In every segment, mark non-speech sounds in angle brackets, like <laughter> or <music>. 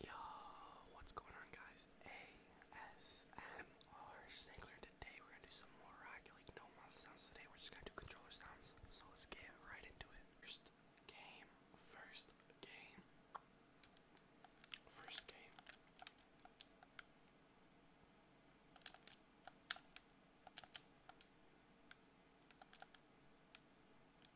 Yo, what's going on guys? ASMR Singler. Today we're gonna do some more like no mouth sounds. Today we're just gonna do controller sounds. So let's get right into it. First game, first game, first game.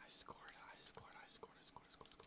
I scored, I scored, I scored, I scored, I scored, I scored.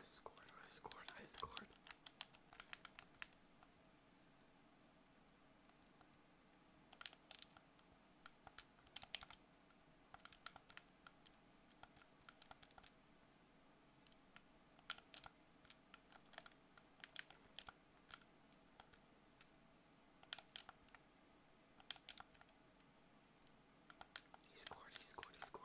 I scored, I scored, I scored. He scored, he scored, he scored.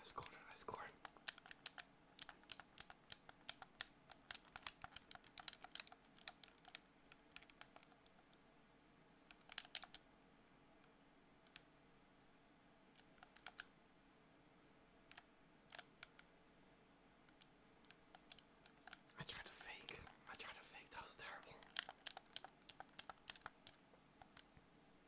I scored I scored. I tried to fake. I tried to fake. That was terrible.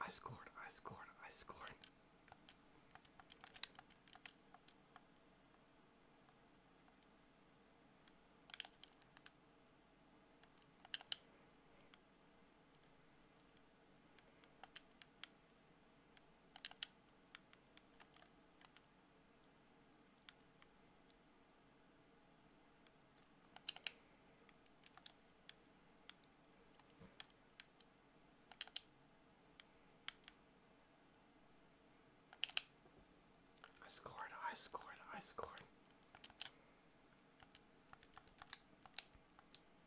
I scored, I scored, I scored. I scored, I scored, I scored.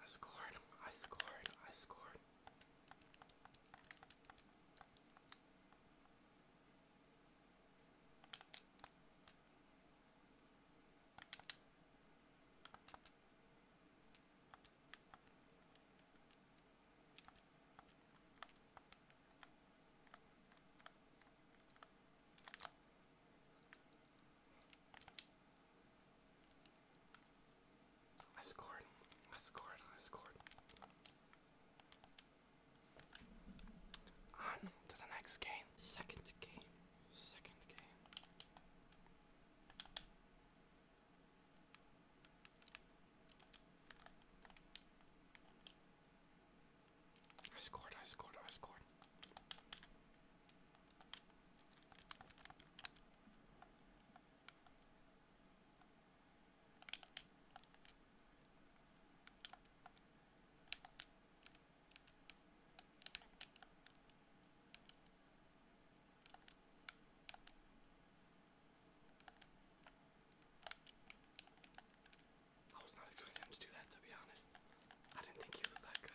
I scored, I scored, I scored. I scored. I scored. I scored. On to the next game. Second game. Second game. I scored, I scored, I scored. I was not expecting him to do that, to be honest. I didn't think he was that good.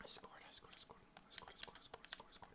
I scored, I scored, I scored, I scored, I scored, I scored, I scored, I scored.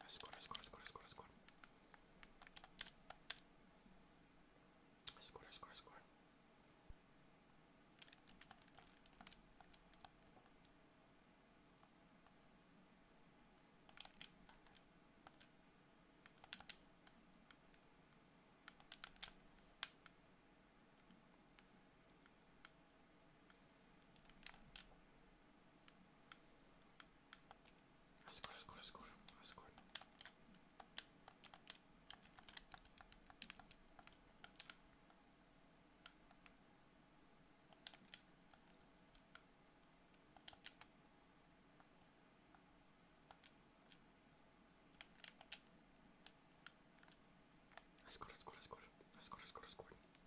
I scored, I scored, I scored, I scored, I scored. I scored, I scored, I scored. Askor, askor, askor, askor. Askor, askor, askor, askor, askor, askor.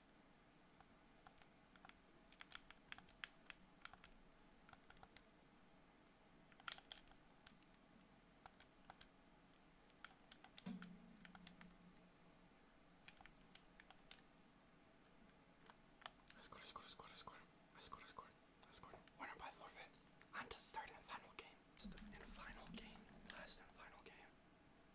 I scored, I scored, I scored, I scored, I scored, I scored, I scored. Winner by forfeit. On to the third and final game. It's and final game. Last and final game.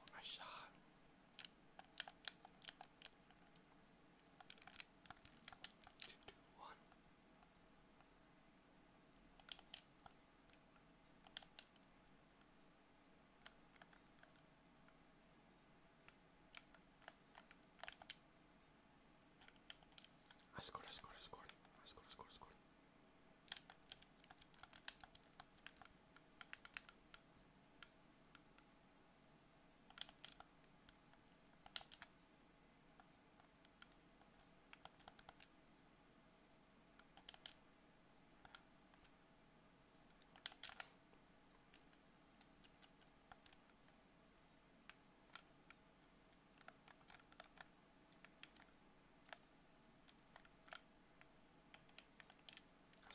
Oh, nice shot. Two, two, one. I scored, I scored, I scored, I scored, I scored, I scored.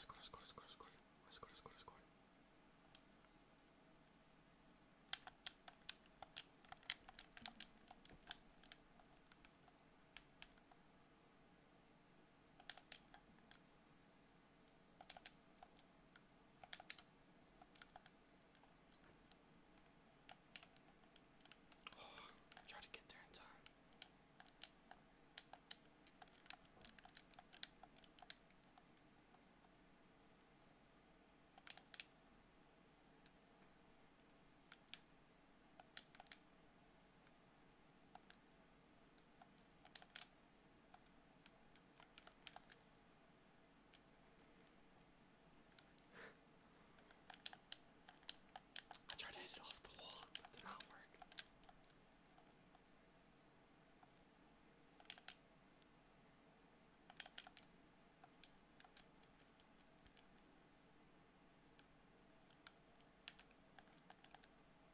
Skål, skål, skål, skål. Skål, skål, skål. Oh, <sighs> try to get there in time. I tried to hit it off the wall, but did not work.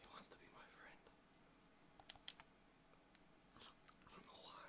He wants to be my friend. I don't, know why.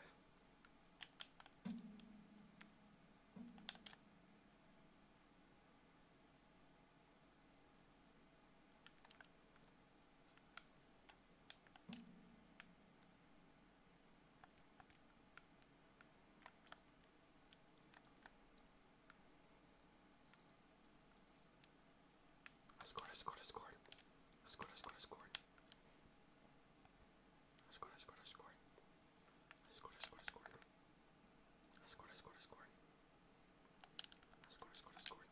I scored, I scored, I scored. I scored, I scored, I scored. I scored, I scored, I scored. I scored, I scored, I scored. I scored, I scored, I scored. I scored, I scored, I scored.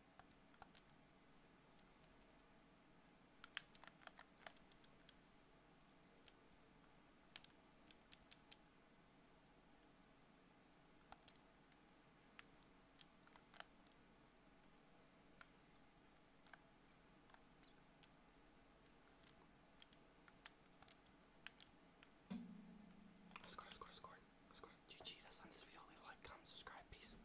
I scored, I scored, I scored, I scored. GG, that's not this video. like, comment, subscribe, peace.